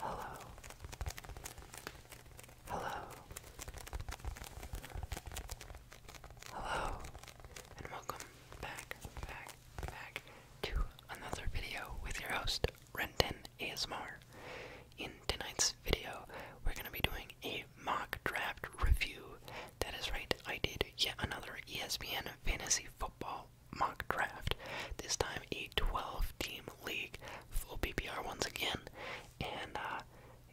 Hello. Hello. Hello. And welcome back, back, back to another video with your host, Renton ASMR. In tonight's video, we're going to be doing a mock draft review. That is right, I did yet another ESPN fantasy football mock, draft. This time a 12 team league, full PPR once again. And uh,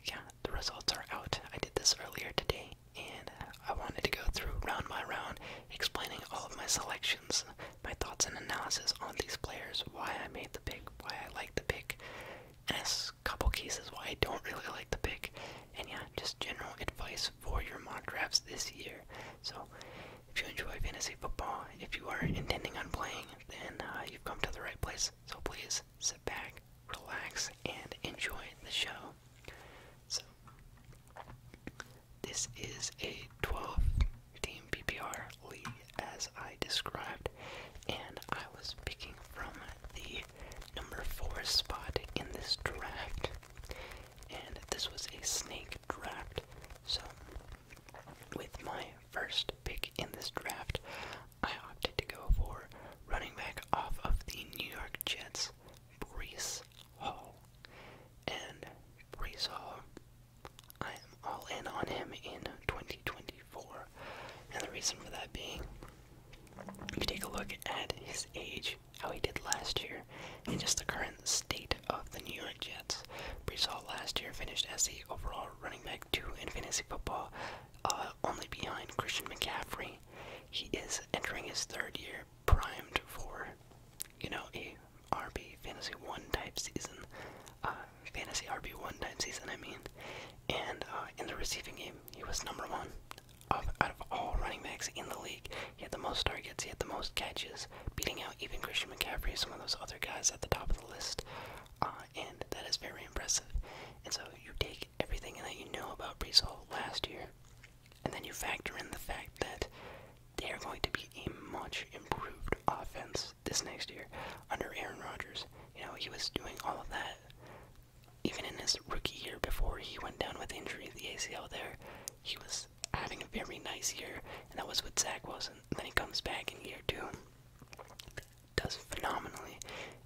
yeah, the results are out. I did this earlier today and I wanted to go through round by round explaining all of my selections, my thoughts and analysis on these players, why I made the pick, why I like the pick, and a couple cases why I don't really like the pick, and yeah, just general advice for your mock drafts this year. So if you enjoy fantasy football, if you are intending on playing, then uh, you've come to the right place. So please sit back, relax, and enjoy the show. So, this is a 12 team PPR league as I described, and I was picking from the number 4 spot in this draft. And this was a snake draft. So, with my first pick in this draft, I opted to go for running back off of the New York Jets, Brees Hall. And Brees Hall, I am all in on him in 2024. And the reason for that being, you take a look at his age, how he did last year, and just the current state of the New York Jets. Breesall last year finished as the overall running back two in fantasy football, uh, only behind Christian McCaffrey. He is entering his third year, primed for, you know, a RB fantasy one type season, uh, fantasy RB one type season. I mean, and uh, in the receiving game, he was number one out of all running backs in the league. He had the most targets, he had the most catches, beating out even Christian McCaffrey, some of those other guys at the top of the list. Uh, and that is very impressive. And so you take everything that you know about Brees Hall last year, and then you factor in the fact that they are going to be a much improved offense this next year under Aaron Rodgers. You know, he was doing all of that even in his rookie year before he went down with injury, the ACL there. He was having a very nice year, and that was with Zach Wilson. And then he comes back in year two, does phenomenally,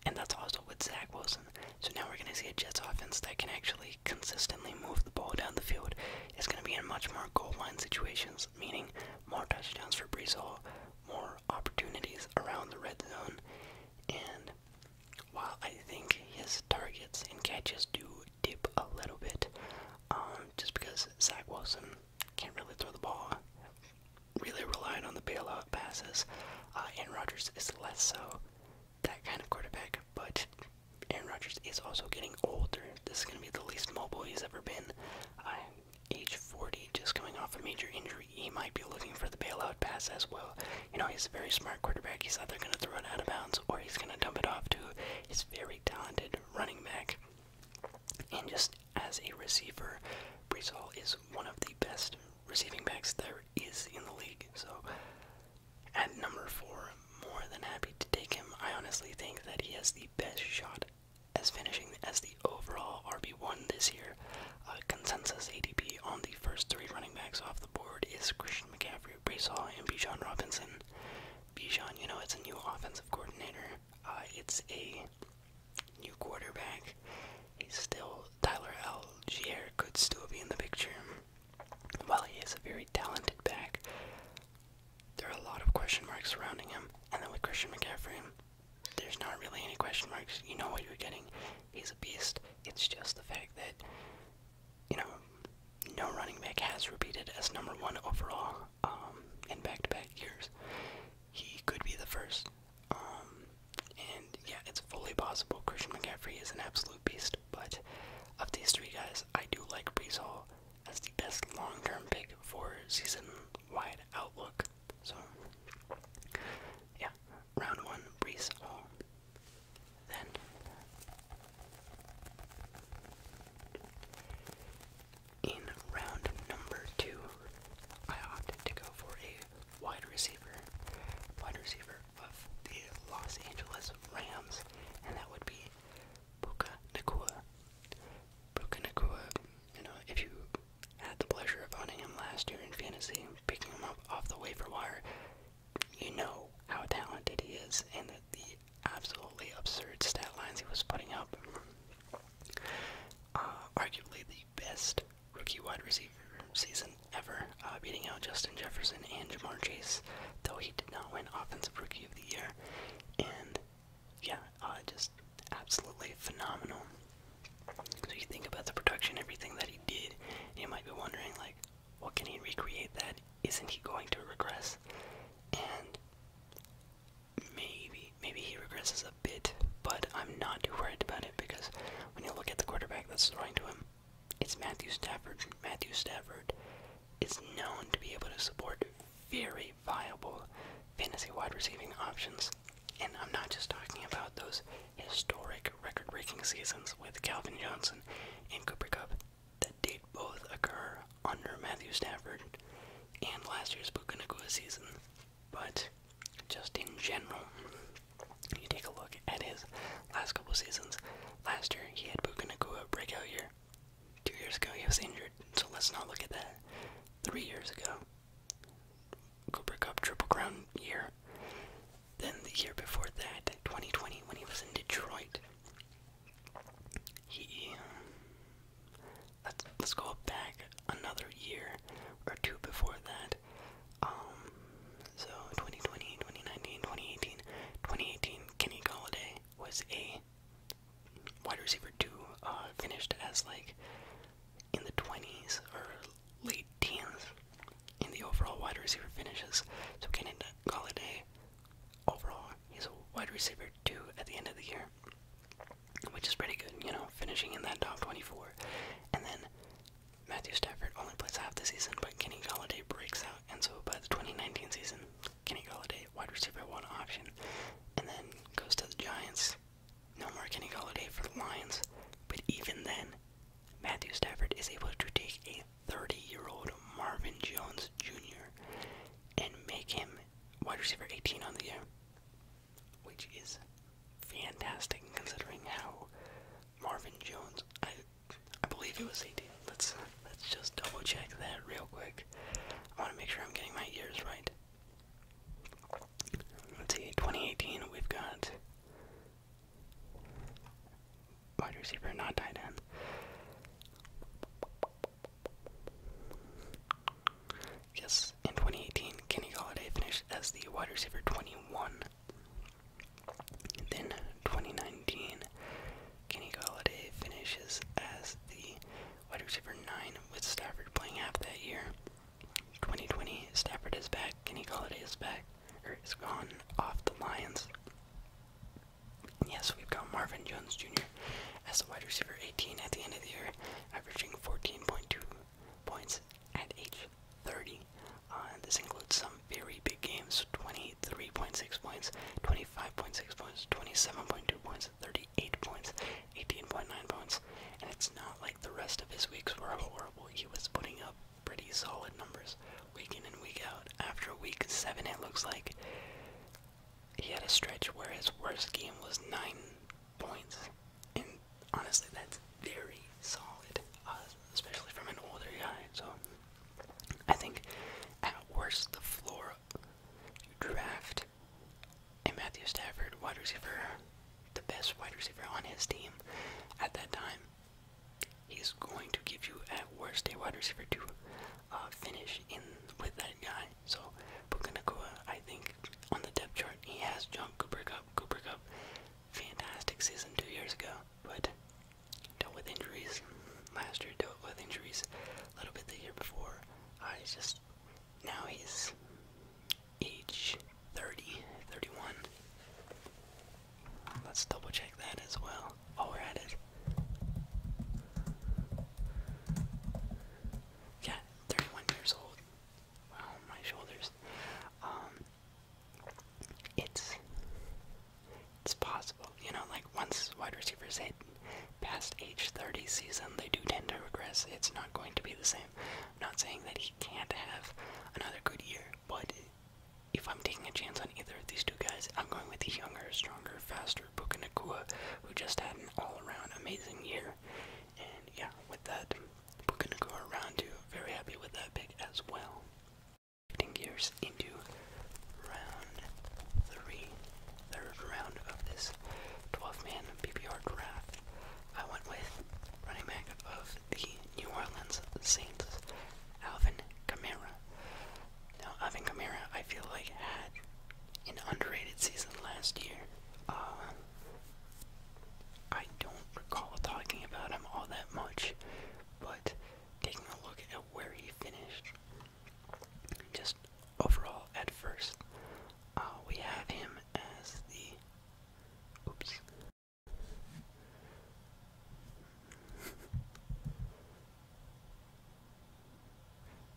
and that's also with Zach Wilson. So now we're going to see a Jets offense that can actually consistently move the ball down the field. It's going to be in much more goal line situations, meaning more touchdowns for Brees more opportunities around the red zone, and while I think his targets and catches do dip a little bit, um, just because Zach Wilson can't really throw the ball. Really relying on the bailout passes. Uh, Aaron Rodgers is less so that kind of quarterback, but Aaron Rodgers is also getting older. This is going to be the least mobile he's ever been. age 40, just coming off a major injury, he might be looking for the bailout pass as well. You know, he's a very smart quarterback. He's either going to throw it out of bounds or he's going to dump it off to He's very talented running back. And just as a receiver, Brees is one of the best receiving backs there is in the league. So at number four, more than happy to take him. I honestly think that he has the best shot as finishing as the overall RB1 this year. Uh, consensus ADP on the first three running backs off the board is Christian McCaffrey, Brees Hall, and Bijan Robinson. Bijan, you know, it's a new offensive coordinator. Uh, it's a new quarterback. He's still Tyler L. Algier could still be in the picture. While he is a very talented back, there are a lot of question marks surrounding him. And then with Christian McCaffrey, there's not really any question marks. You know what you're getting. He's a beast. It's just the fact that you know, no running back has repeated as number one overall um, in back-to-back years. He could be the first. Um, and yeah, it's fully possible. Christian McCaffrey is an absolute beast, but of these three guys, I do like Brees Hall as the best long-term pick for season-wide outlook. So, yeah, round one, Brees Hall then. In round number two, I opted to go for a wide receiver, wide receiver of the Los Angeles Rams, and that would be Puka Nakua. Puka Nakua, you know, if you had the pleasure of owning him last year in fantasy, picking him up off the waiver wire, you know how talented he is, and that the absolutely absurd stat lines he was putting up. Uh, arguably the best rookie wide receiver season ever, uh, beating out Justin Jefferson and Jamar Chase, though he did not win Offensive Rookie of the Year. And yeah, uh, just absolutely phenomenal. So you think about the production, everything that he did, you might be wondering, like, what can he recreate that? Isn't he going to regress? And maybe, maybe he regresses a bit, but I'm not too worried about it because when you look at the quarterback that's throwing to him, it's Matthew Stafford. Matthew Stafford is known to be able to support very viable fantasy wide receiving options. And I'm not just talking about those historic record breaking seasons with Calvin Johnson and Cooper Cup that date both occur under Matthew Stafford and last year's Bukanakua season, but just in general, you take a look at his last couple seasons. Last year, he had Bukanakua breakout year. Two years ago, he was injured, so let's not look at that. Three years ago, Cooper Cup Triple Crown year. Then the year before that, 2020, when he was in Detroit, he let's let's go back another year or two before that. Um so 2020, 2019, 2018, 2018 Kenny Galladay was a wide receiver two, uh finished as like in the 20s or late teens in the overall wide receiver finishes. So Kenny Galladay overall, he's a wide receiver two at the end of the year, which is pretty good, you know, finishing in that top 24. And then Matthew Stafford only plays half the season, but Kenny Galladay breaks out, and so by the 2019 season, Kenny Galladay, wide receiver one option, and then goes to the Giants. No more Kenny Galladay for the Lions, but even then, Matthew Stafford is able to take a 30-year-old Marvin Jones Jr. and make him wide receiver 18 on the year, which is fantastic considering how Marvin Jones. I believe it was 18. Let's let's just double check that real quick. I want to make sure I'm getting my years right. Let's see, 2018. We've got wide receiver, not tight end. Yes, in 2018, Kenny Galladay finished as the wide receiver 21. Then 2019, Kenny Galladay finishes as the wide receiver 9 with Stafford playing half that year. 2020, Stafford is back, Kenny Galladay is back, or is gone off the Lions. Yes, we've got Marvin Jones Jr. as the wide receiver 18 at the end of the year, averaging 14.2 points at age 30. Uh, this includes some very big games 23.6 points, 25.6 points, 27.2 points, 38 points, 18.9 points. And it's not like the rest of his weeks were horrible. He was putting up pretty solid numbers week in and week out. After week 7, it looks like he had a stretch where his worst game was nine points, and honestly, that's very solid, uh, especially from an older guy. So I think at worst, the floor you draft a Matthew Stafford wide receiver, the best wide receiver on his team at that time. He's going to give you at worst a wide receiver two. Uh, finish in with that guy. So Puka Nakua, I think on the depth chart he has jumped Cooper Cup. Cooper Cup, fantastic season two years ago, but dealt with injuries last year. Dealt with injuries a little bit the year before. Uh, he's just now he's age 30, 31. Let's double check that as well. Oh, we're at it. Yeah, 31 years old. Wow, my shoulders. Um, it's it's possible, you know. Like once wide receivers hit past age 30 season, they do tend to regress. It's not going to be the same. I'm not saying that he can't have another good year, but if I'm taking a chance on either of these two guys, I'm going with the younger, stronger, faster for who just had an all-around amazing year. And yeah, with that, Puka Nakua round two, very happy with that pick as well. Shifting gears into round three, third round of this 12-man PPR draft. I went with running back of the New Orleans Saints, Alvin Kamara. Now, Ivan Kamara, I feel like had an underrated season last year. Uh, I don't recall talking about him all that much, but taking a look at where he finished, just overall at first, uh, we have him as the. Oops.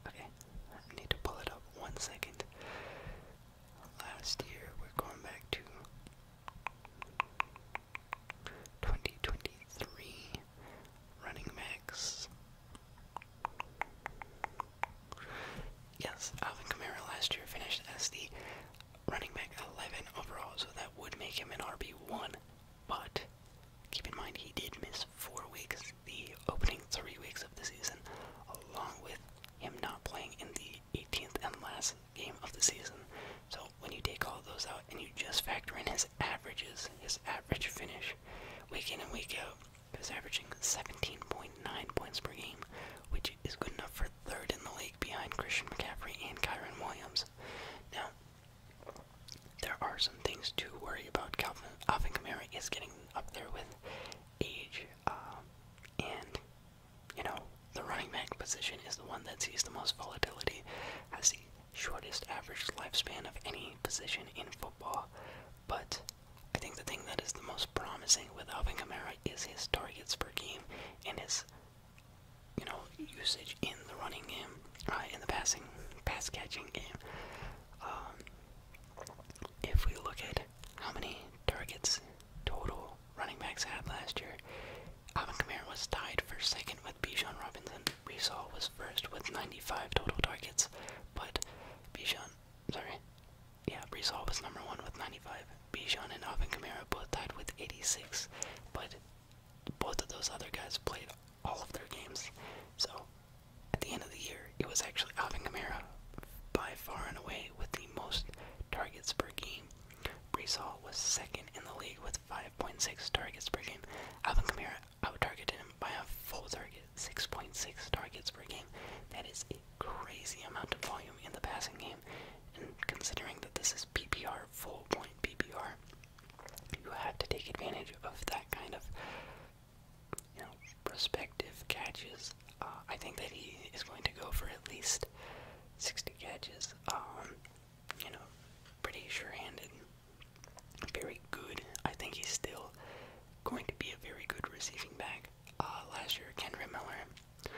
Okay, I need to pull it up one second. Last year, we're going back to 2023 running backs. Yes, Alvin Kamara last year finished as the running back 11 overall, so that would make him an RB1 but keep in mind, he did miss four weeks, the opening three weeks of the season, along with him not playing in the 18th and last game of the season. So when you take all those out and you just factor in his averages, his average finish, week in and week out, he was averaging 17.9 points per game, which is good enough for third in the league behind Christian McCaffrey and Kyron Williams. Now, there are some things to worry about. Calvin, Alvin Kamara is getting up there with age, um, and you know the running back position is the one that sees the most volatility, has the shortest average lifespan of any position in football. But I think the thing that is the most promising with Alvin Kamara is his targets per game and his you know usage in the running game. Right uh, in the passing, pass catching game. Um, if we look at how many targets total running backs had last year, Alvin Kamara was tied for second with Bijan Robinson. We was first with 95 total targets, but Bijan, sorry, yeah, Brees was number one with 95. Bijan and Alvin Kamara both tied with 86, but both of those other guys played all of their games. So at the end of the year, it was actually Alvin Kamara by far and away with the most targets per game. Brees was second in the league with 5.6 targets per game. Alvin Kamara out-targeted him by a full target, 6.6 targets per game. That is a crazy amount of volume in the passing game, and considering that this is PPR, full point PPR, you have to take advantage of that kind of, you know, prospective catches. Uh, I think that he is going to go for at least 60 catches. Um, you know, pretty sure-handed, very good. I think he's still going to be a very good receiving back. Uh, last year, Kendra Miller,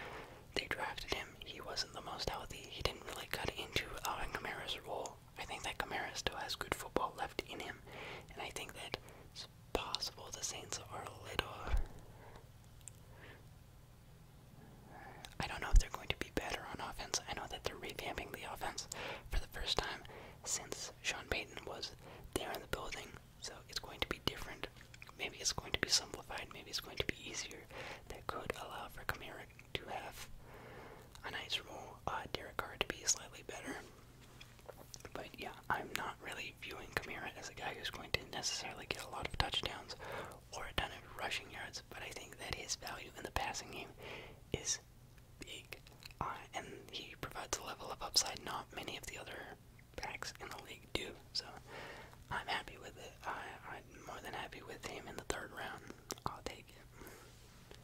they drafted him. He wasn't the most healthy. He didn't really cut into Alvin Kamara's role I think that Kamara still has good football left in him, and I think that it's possible the Saints are a little. I don't know if they're going to be better on offense. I know that they're revamping the offense for the first time since Sean Payton was there in the building, so it's going to be different. Maybe it's going to be simplified, maybe it's going to be easier. That could allow for Kamara to have a nice role. Uh, Derek Carr to be slightly better. But yeah, I'm not really viewing Kamara as a guy who's going to necessarily get a lot of touchdowns or a ton of rushing yards, but I think that his value in the passing game is big. Uh, and he provides a level of upside not many of the other backs in the league do. So I'm happy with it. I'm more than happy with him in the third round. I'll take it.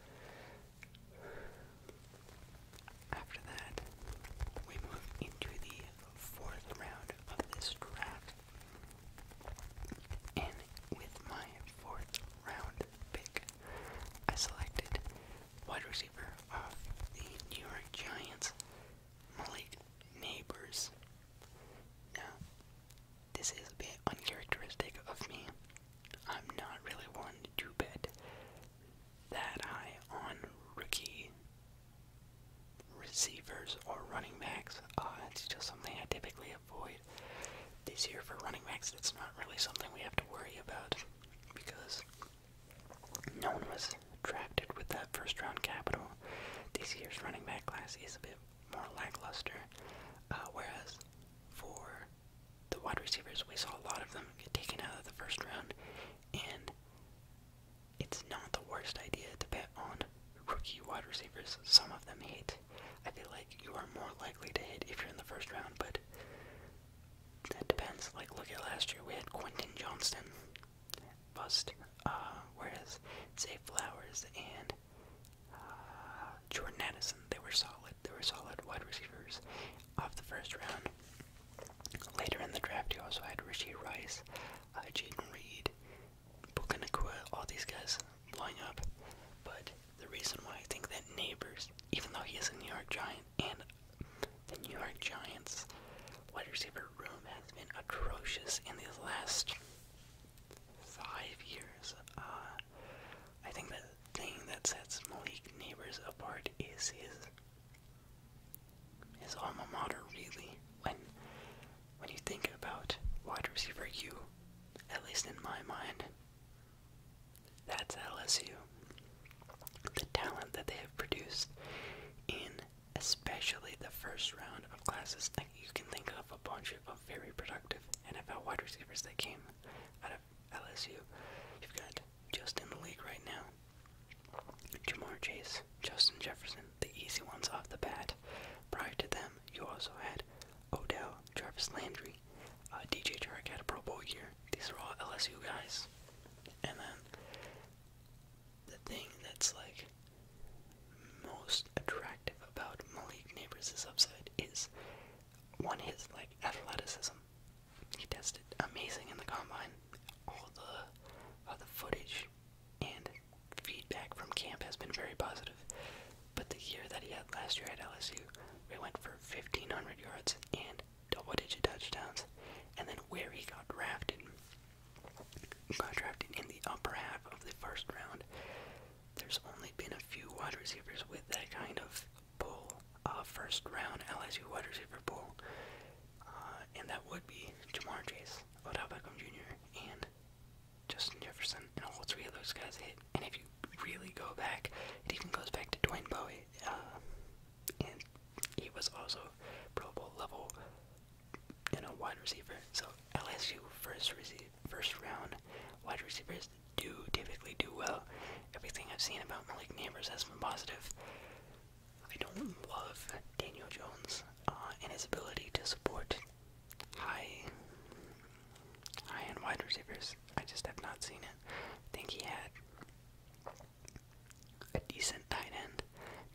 After that, we move into the fourth round of this draft. And with my fourth round pick, I selected wide receiver of the New York Giants, Malik Neighbors. Now, this is a bit uncharacteristic of me. I'm not really one to bet that high on rookie receivers or running backs. Uh, it's just something I typically avoid. This year for running backs, it's not really something we have to worry about because no one was drafted with that first round capital. This year's running back class is a bit more lackluster, uh, whereas for the wide receivers, we saw a lot of them get taken out of the first round, and it's not the worst idea to bet on rookie wide receivers. Some of them hit. I feel like you are more likely to hit if you're in the first round, but that depends. Like, look at last year, we had Quentin Johnston bust, uh, whereas Zay Flowers and uh, Jordan Addison. They were solid. They were solid wide receivers off the first round. Later in the draft, you also had Richie Rice, uh, Jaden Reed, Bukanakua, all these guys lining up. But the reason why I think that Neighbors, even though he is a New York Giant, and the New York Giants wide receiver room has been atrocious in the last five years. Uh, I think the thing that sets Malik Neighbors apart is his his alma mater really. When when you think about wide receiver U, at least in my mind, that's LSU. The talent that they have produced in especially the first round of classes, like you can think of a bunch of very productive NFL wide receivers that came out of LSU. You've got just in the league right now. Jamar Chase, Justin Jefferson, the easy ones off the bat. Prior to them, you also had Odell, Jarvis Landry, uh, DJ Chark had a Pro Bowl year. These are all LSU guys. And then the thing that's like most attractive about Malik Neighbors' upside is one is like athleticism. He tested amazing in the combine. All the uh, the footage and feedback from camp has been very positive. But the year that he had last year at LSU, we went for 1,500 yards and double-digit touchdowns. And then where he got drafted, got drafted in the upper half of the first round there's only been a few wide receivers with that kind of pull, uh, first round LSU wide receiver pull, uh, and that would be Jamar Chase, Odell Beckham Jr., and Justin Jefferson, and all three of those guys hit. And if you really go back, it even goes back to Dwayne Bowie, uh, and he was also Pro Bowl level, you a wide receiver. So LSU first rece first round wide receivers do typically do well. Everything I've seen about Malik Neighbors has been positive. I don't love Daniel Jones uh, and his ability to support high, high-end wide receivers. I just have not seen it. I think he had a decent tight end,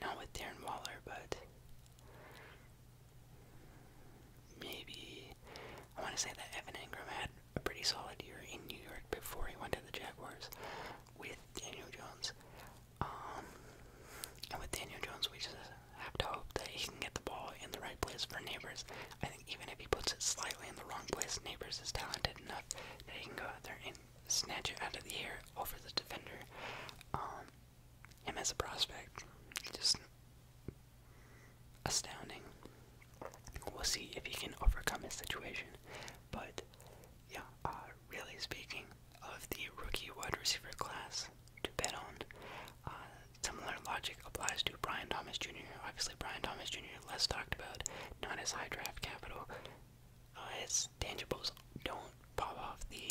not with Darren Waller, but maybe I want to say that Evan Ingram had a pretty solid year in New York before he went to the Jaguars with Daniel Jones. Um, and with Daniel Jones, we just have to hope that he can get the ball in the right place for Neighbors. I think even if he puts it slightly in the wrong place, Neighbors is talented enough that he can go out there and snatch it out of the air over the defender. Um, him as a prospect, just astounding. We'll see if he can overcome his situation. But yeah, uh, really speaking of the rookie wide receiver class to bet on, uh, similar logic applies to Brian Thomas Jr. Obviously, Brian Thomas Jr. less talked about, not as high draft capital. Uh, his tangibles don't pop off the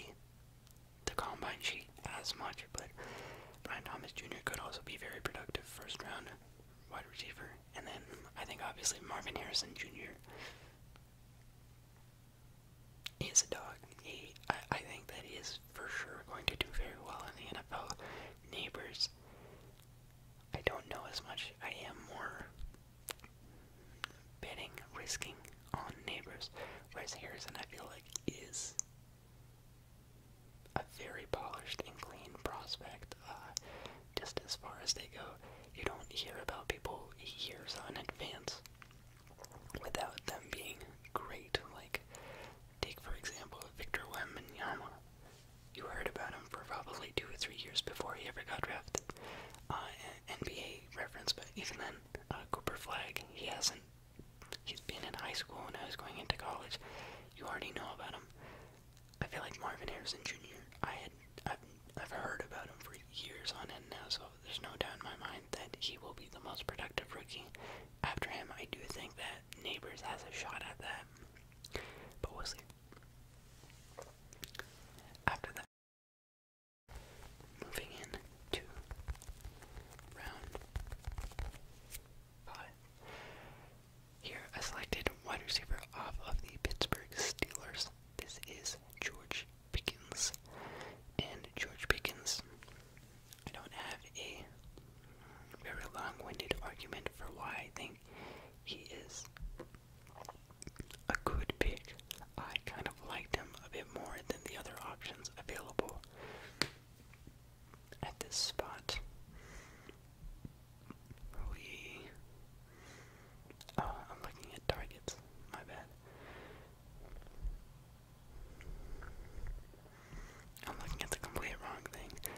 the combine sheet as much, but Brian Thomas Jr. could also be very productive first round wide receiver. And then I think obviously Marvin Harrison Jr. is a dog. He, I, I think that he is for sure going to do very well in the NFL. Neighbors, I don't know as much. I am more betting, risking on neighbors. Whereas Harrison, I feel like is a very polished and clean prospect. Uh, just as far as they go, you don't hear about people years on advance without them being great. Like, take for example Victor Wembanyama. You heard about him for probably two or three years before he ever got drafted. Uh, NBA reference, but even then, uh, Cooper Flag, he hasn't He's been in high school and I was going into college. You already know about him. I feel like Marvin Harrison Jr. I had I've, i heard about him for years on end now, so there's no doubt in my mind that he will be the most productive rookie. After him, I do think that Neighbors has a shot at that, but we'll see. After that, moving in round five. Here, I selected wide receiver off of the Pittsburgh Steelers. This is George Pickens. And George Pickens, I don't have a very long winded argument for why I think he is a good pick. I kind of liked him a bit more than the other options available at this spot. We. Oh, I'm looking at targets. My bad. I'm looking at the complete wrong thing.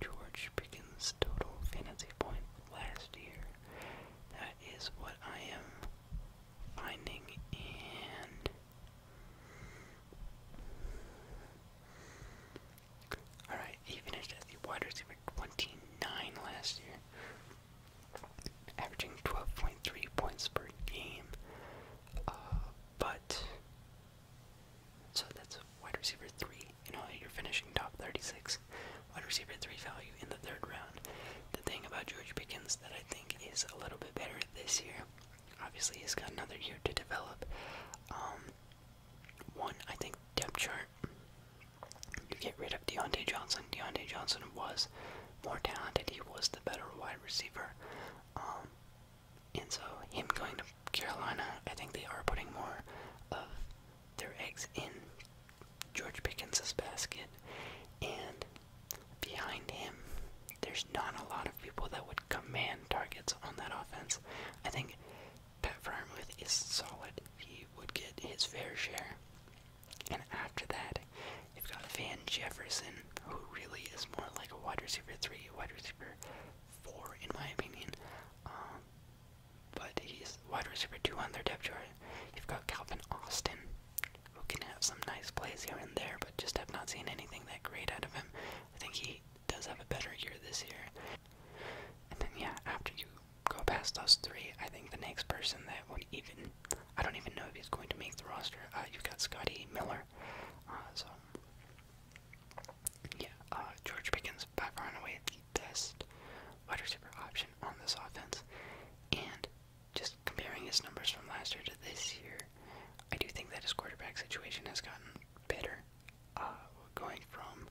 George Pickens' total fantasy point last year. That is what I am finding, and Alright, he finished as the wide receiver 29 last year, averaging 12.3 points per game. Uh, but, so that's wide receiver 3. You know, you're finishing top 36. Wide receiver 3 value in the third round. The thing about George Pickens that I think is a little bit better this year obviously he's got another year to develop. Um, one, I think depth chart. You get rid of Deontay Johnson. Deontay Johnson was more talented. He was the better wide receiver. Um, and so him going to Carolina, I think they are putting more of their eggs in George Pickens' basket. And behind him, there's not a lot of people that would command targets on that offense. I think Pat Fryermuth is solid. He would get his fair share. And after that, you've got Van Jefferson, who really is more like a wide receiver three, wide receiver four, in my opinion. Um, but he's wide receiver two on their depth chart. You've got Calvin Austin, who can have some nice plays here and there, but just have not seen anything that great out of him. I think he does have a better year this year. And then, yeah, after you go past those three, I think the next person that would even. I don't even know if he's going to make the roster. Uh, you've got Scotty Miller. Uh, so, yeah, uh, George Pickens by running and away the best wide receiver option on this offense. And just comparing his numbers from last year to this year, I do think that his quarterback situation has gotten better. Uh, going from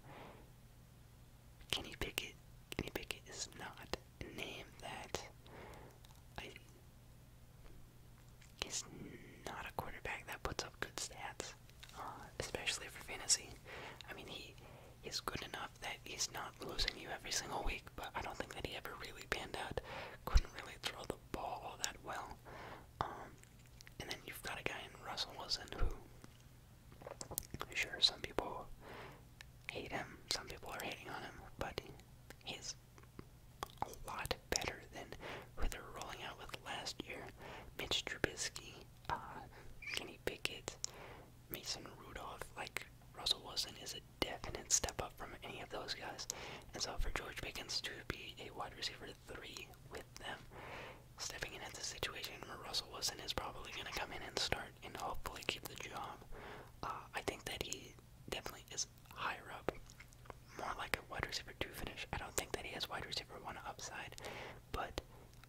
Kenny Pickett, Kenny Pickett is not a name that I is not a quarterback that puts up good stats, uh, especially for fantasy. I mean, he is good enough that he's not losing you every single week, but I don't think that he ever really panned out. Couldn't really throw the the ball all that well. Um, and then you've got a guy in Russell Wilson who, sure, some people hate him, some people are hating on him, but he's a lot better than who they're rolling out with last year. Mitch Trubisky, uh, Kenny Pickett, Mason Rudolph, like Russell Wilson is it definite step up from any of those guys. And so for George Pickens to be a wide receiver three with them, stepping in at the situation where Russell Wilson is probably going to come in and start and hopefully keep the job, uh, I think that he definitely is higher up, more like a wide receiver two finish. I don't think that he has wide receiver one upside, but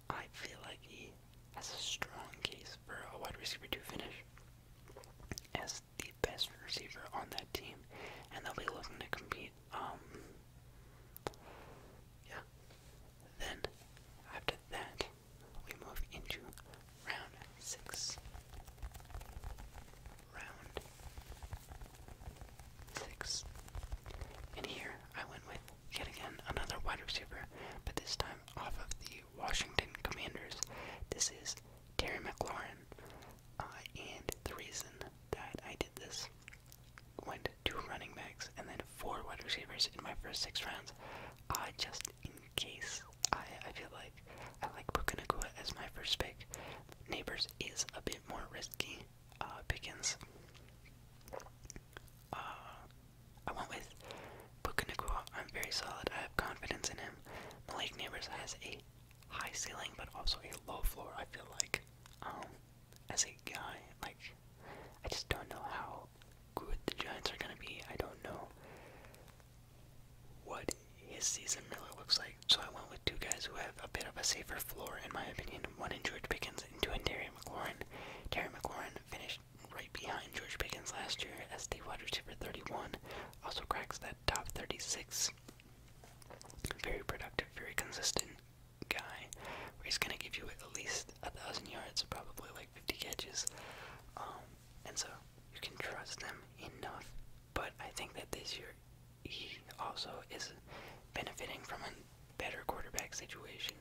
I feel like he has a strong case for a wide receiver two finish. As the best receiver on that team, and they'll be looking to compete. Um, yeah. Then after that, we move into round six. Round six. And here I went with yet again another wide receiver, but this time off of the Washington Commanders. This is Terry McLaurin. Uh, and the reason that I did this went two running backs and then four wide receivers in my first six rounds, I uh, just in case. I, I feel like I like Puka Nakua as my first pick. Neighbors is a bit more risky. Uh, Pickens. Uh, I went with Puka Nakua. I'm very solid. I have confidence in him. Malik Neighbors has eight high ceiling but also a low floor. I feel like um, as a guy, like I just don't know how good the Giants are gonna be. I don't know what his season Miller looks like. So I went with two guys who have a bit of a safer floor, in my opinion. One in George Pickens and two in Terry McLaurin. Terry McLaurin finished right behind George Pickens last year as the wide receiver 31, also cracks that top 36 very productive, very consistent guy. he's gonna give you at least a thousand yards, probably like 50 catches. Um, and so you can trust them enough. But I think that this year he also is benefiting from a better quarterback situation.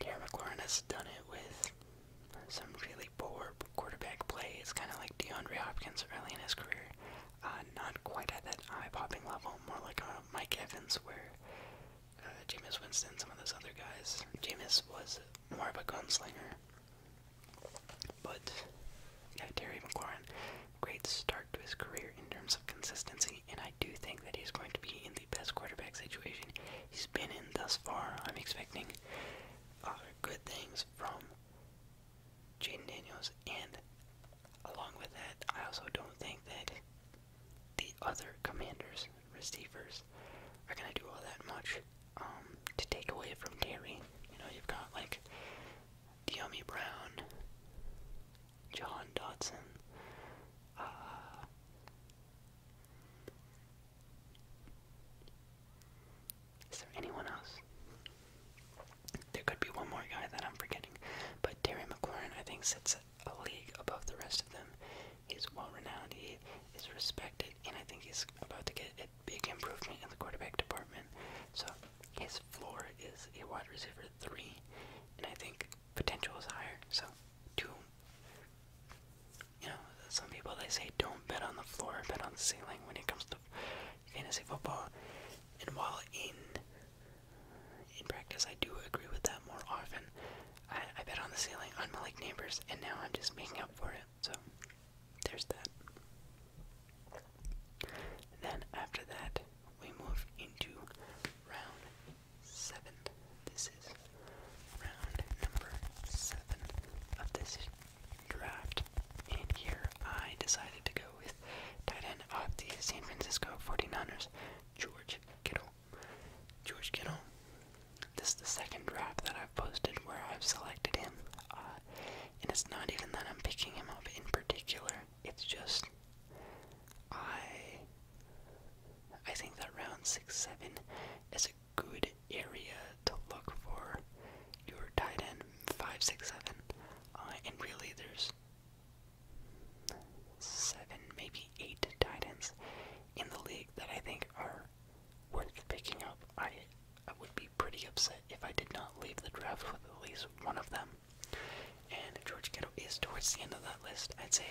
Terry McLaurin has done it with some really really quarterback play. It's kind of like DeAndre Hopkins early in his career. Uh, not quite at that eye-popping level, more like Mike Evans where uh, Jameis Winston, some of those other guys. Jameis was more of a gunslinger. But, yeah, Terry McLaurin, great start to his career in terms of consistency, and I do think that he's going to be in the best quarterback situation he's been in thus far. I'm expecting uh, good things from Jaden Daniels, and along with that, I also don't think that the other commanders, receivers, are going to do all that much um, to take away from Terry. You know, you've got like Deami Brown, John Dodson, uh, is there anyone else? There could be one more guy that I'm forgetting, but Terry McLaurin, I think, sits a league above the rest of them. He's well renowned, he is respected, and I think he's about to get a big improvement in the quarterback department. So his floor is a wide receiver three, and I think potential is higher. So two. You know, some people they say don't bet on the floor, bet on the ceiling when it comes to fantasy football. And while in in practice I do agree with that more often, I, bet on the ceiling on my like Neighbors, and now I'm just making up for it. So there's that. Then after that, we move into round seven. This is round number seven of this draft. And here I decided to go with tight end of the San Francisco 49ers, George Kittle. George Kittle, this is the second draft that I've posted where I've selected him. Uh, and it's not even that I'm picking him up in particular, it's just I I think that round six seven is a good area to look for your tight end five, six, seven, uh, and really there's seven, maybe eight tight ends in the league that I think are worth picking up. I, would be pretty upset if I did not leave the draft with at least one of them. And George Kittle is towards the end of that list, I'd say.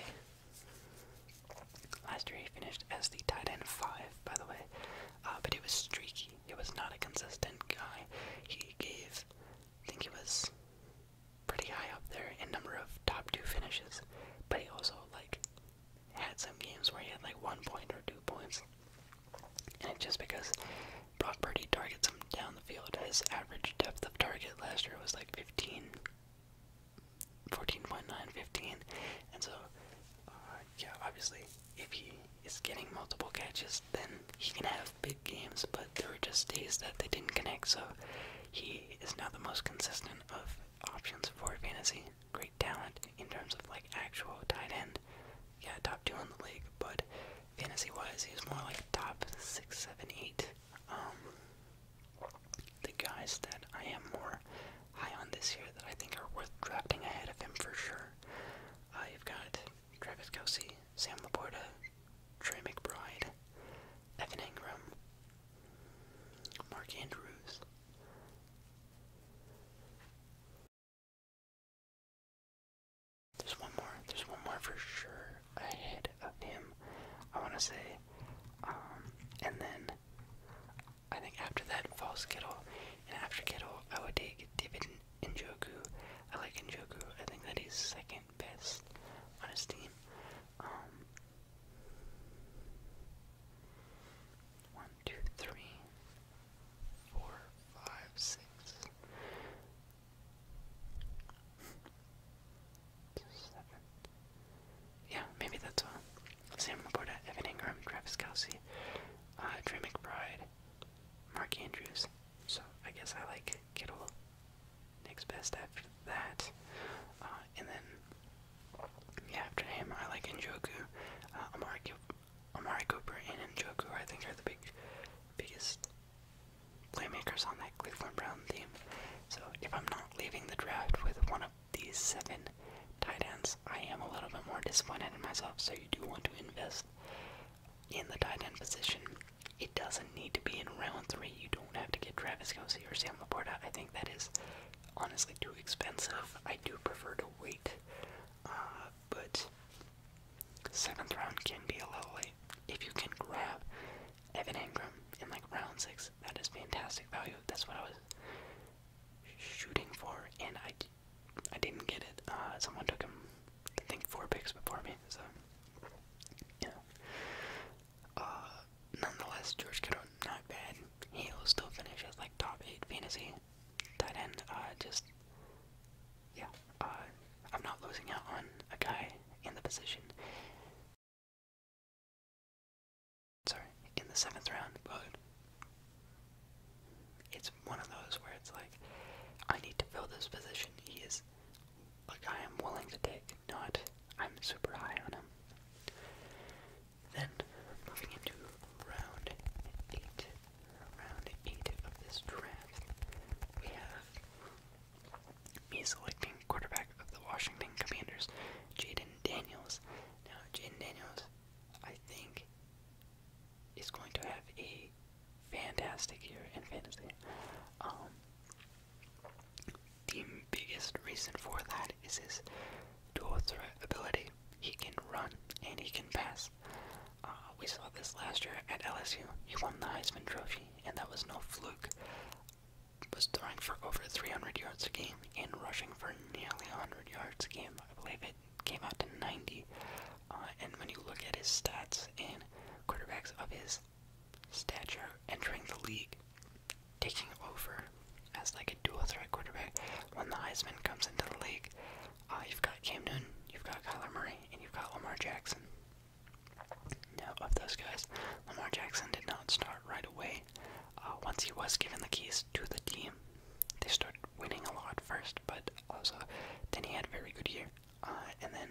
Last year he finished as the tight end five, by the way, uh, but he was streaky he was not a consistent guy. He gave, I think he was pretty high up there in number of top two finishes, but he also like had some games where he had like one point or two points. And it's just because Brock Purdy targets him down the field. His average depth of target last year was like 15, 14.9, 15. And so uh, yeah, obviously, if he is getting multiple catches, then he can have big games, but there were just days that they didn't connect, so he is now the most consistent of options for fantasy. Great talent in terms of like actual tight end. Yeah, top two in the league, but fantasy wise, he was more like top six, seven, eight. Um, the guys that I am more high on this year that I think are worth drafting ahead of him for sure uh, have got Travis Kelsey, Sam Laporta, Trey McBride, Evan Ingram, Mark Andrews. There's one more. There's one more for sure ahead of him. I want to say, um, and then I think after that falls Kittle, and after Kittle I would take David Injoku, I like Njoku. I think that he's second best on his team. Um, Yeah, maybe that's all. Uh, Sam Laporta, Evan Ingram, Travis Kelsey, uh, Drew Mark Andrews. So I guess I like Kittle next best after that. Uh, and then yeah, after him I like Njoku, uh, Amari, Amari Cooper, and Njoku I think are the big, biggest playmakers on that Cleveland Brown team. So if I'm not leaving the draft with one of these seven tight ends, I am a little bit more disappointed in myself. So you do want to invest in the tight end position. It doesn't need to be in round three. You don't have to get Travis Kelsey or Sam Laporta. I think that is honestly too expensive. I do prefer to wait, uh, but seventh round can be a little late. If you can grab Evan Ingram in like round six, that is fantastic value. That's what I was shooting for, and I I didn't get it. Uh, someone took him, I think, four picks before me. So, you uh, nonetheless, George Kittle, not bad. he still finishes like top eight fantasy tight end. Uh, just yeah. I'm not losing out on a guy in the position. Sorry, in the seventh round, but it's one of those where it's like, I need to fill this position. He is like, I'm willing to take, not I'm super high on him. Then, moving into round 8, round 8 of this draft, we have me selecting quarterback of the Washington Commanders, Jaden Daniels. Now, Jaden Daniels, I think, is going to have a fantastic year and fantasy. Um, the biggest reason for that is his dual threat ability. He can run and he can pass. Uh, we saw this last year at LSU. He won the Heisman Trophy, and that was no fluke. Was throwing for over 300 yards a game and rushing for nearly 100 yards a game. I believe it came out to 90. Uh, and when you look at his stats and quarterbacks of his stature entering the league, taking over as like a dual threat quarterback, when the Heisman comes into the league, uh, you've got Cam Newton, you've got Kyler Murray, and you've got Lamar Jackson. Now, of those guys, Lamar Jackson did not start right away. Uh, once he was given the keys to the team. They started winning a lot first, but also then he had a very good year. Uh, and then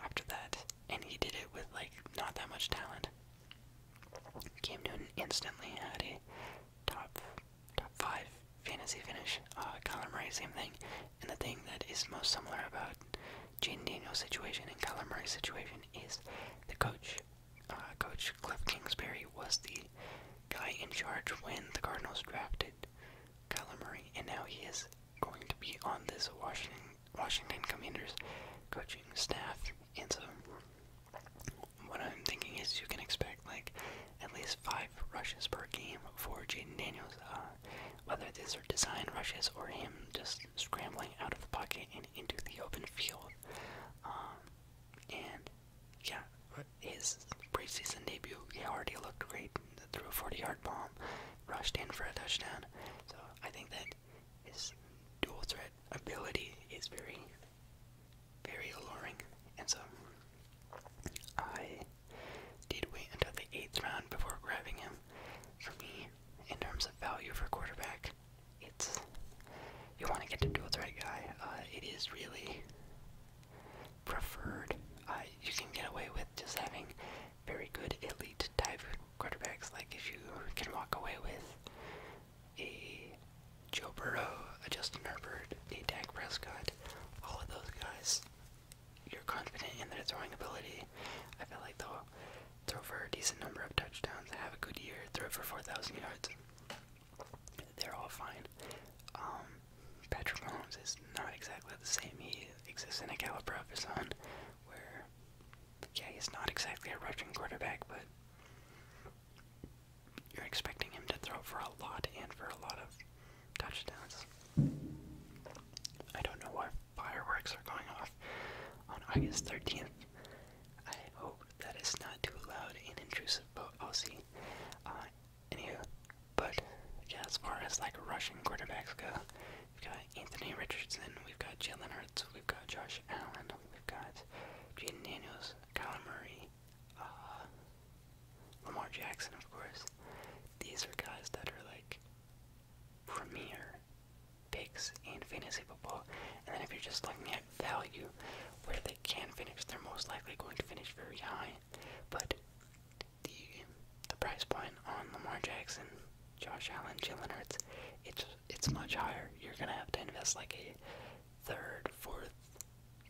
after that, and he did it with like not that much talent. Cam Newton instantly had a top top five fantasy finish. Uh, Kyler Murray, same thing. And the thing that is most similar about Jane Daniels' situation and Kyler Murray's situation is the coach. Uh, coach Cliff Kingsbury was the guy in charge when the Cardinals drafted Kyler Murray, and now he is going to be on this Washington Washington Commanders coaching staff. And so, what I'm thinking is you can expect like at least five rushes per game for Jaden Daniels, uh, whether these are design rushes or him just scrambling out of the pocket and into the open field. Um, and yeah, his preseason debut, he already looked great. Threw a 40-yard bomb, rushed in for a touchdown. So I think that his dual threat ability is very, very alluring. And so I did wait until the eighth round before grabbing him. For me, in terms of value for quarterback, it's you want to get the dual threat guy. Uh, it is really preferred. Uh, you can get away with just having very good elite type quarterbacks. Like if you can walk away with a Joe Burrow, a Justin Herbert, a Dak Prescott, all of those guys, you're confident in their throwing ability. I feel like they'll throw for a decent number of touchdowns, have a good year, throw for 4,000 yards. They're all fine. Um, Patrick Mahomes is not exactly the same. He exists in a caliber of his own, where, yeah, he's not exactly a rushing quarterback, but you're expecting him to throw for a lot and for a lot of touchdowns. I don't know why fireworks are going off on August 13th. I hope that is not too loud and intrusive, but I'll see. Uh, Anywho, but yeah, as far as like rushing quarterbacks go, we've got Anthony Richardson, we've got Jalen Hurts, we've got Josh Allen, we've got Jaden Daniels, Kyler Murray, uh, Lamar Jackson, of course. These are guys that are like premier picks in fantasy football. And then if you're just looking at value, where they can finish, they're most likely going to finish very high. But the price point on Lamar Jackson, Josh Allen, Jalen Hurts, it's it's much higher. You're gonna have to invest like a third, fourth,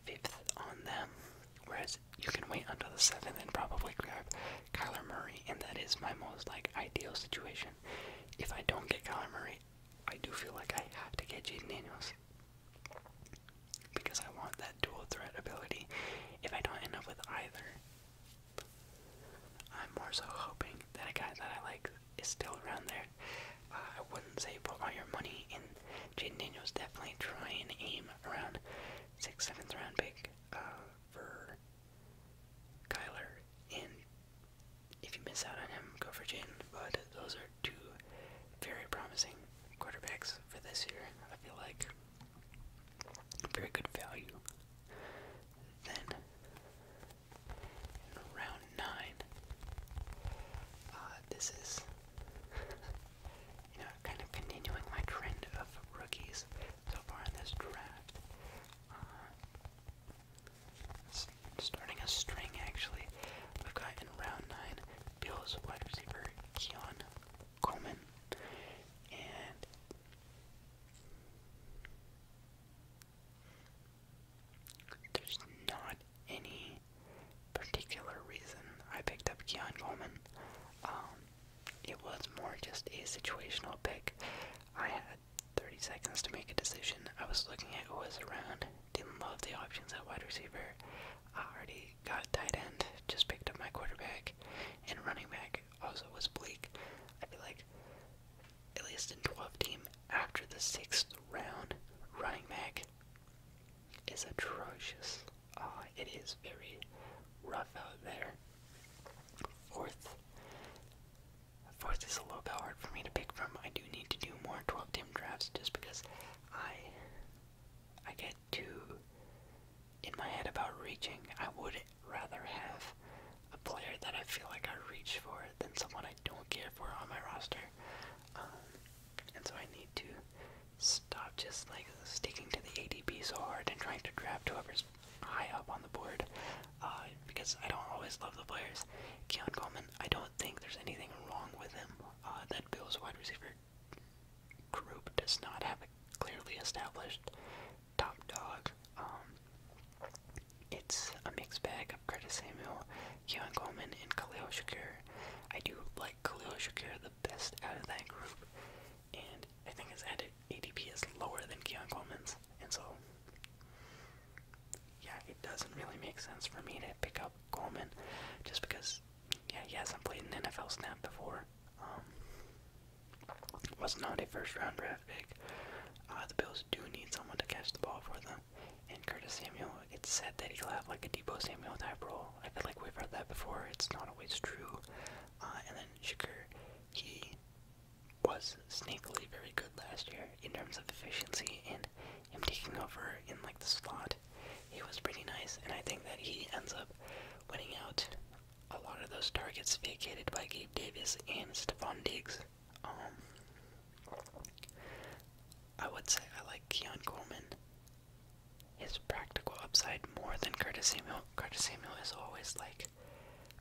fifth on them. Whereas you can wait until the seventh and probably grab Kyler Murray, and that is my most like ideal situation. If I don't get Kyler Murray, I do feel like I have to get Jaden Daniels. Because I want that dual threat ability if I don't end up with either. I'm more so hoping that a guy that I like is still around there. Uh, I wouldn't say put all your money in Jaden Daniels. Definitely trying to aim around sixth, seventh round pick uh, for Kyler. And if you miss out on him, go for Jaden. But those are two very promising quarterbacks for this year, I feel like. Very good value. Then, in round 9, uh, this is, you know, kind of continuing my trend of rookies so far in this draft. Uh, starting a string, actually. We've got in round 9, Bills wide receiver Keon Coleman, and there's not any particular reason I picked up Keon Coleman. Um, it was more just a situational pick. I had 30 seconds to make a decision. I was looking at who was around, didn't love the options at wide receiver. I already got tight end, just picked up my quarterback, and running back also was bleak. I feel like at least in 12 team after the sixth round, running back is atrocious. Uh, it is very rough out there. Fourth, fourth is a little bit hard for me to pick from. I do need to do more 12 team drafts just because I I get too in my head about reaching. I would rather have a player that I feel like I reach for than someone I don't care for on my roster. Um, and so I need to stop just like sticking to the ADP so hard and trying to draft whoever's high up on the board uh, because I don't always love the players. Keon Coleman, I don't think there's anything wrong with him. Uh, that Bills wide receiver group does not have a clearly established top dog. Um, it's a mixed bag of Curtis Samuel, Keon Coleman, and Khalil Shakir. I do like Khalil Shakir the best out of that group, and I think his ADP is lower than Keon Coleman's, and so yeah, it doesn't really make sense for me to pick up Coleman just because yeah, yes, I not played an NFL snap before. Um, was not a first round draft pick. Uh, the Bills do need someone to catch the ball for them. And Curtis Samuel, it's said that he'll have like a Depot Samuel type role. I feel like we've heard that before. It's not always true. Uh, and then Shakur, he was sneakily very good last year in terms of efficiency and him taking over in like the slot, he was pretty nice, and I think that he ends up winning out a lot of those targets vacated by Gabe Davis and Stephon Diggs. Um, I would say I like Keon Coleman, his practical upside more than Curtis Samuel. Curtis Samuel is always like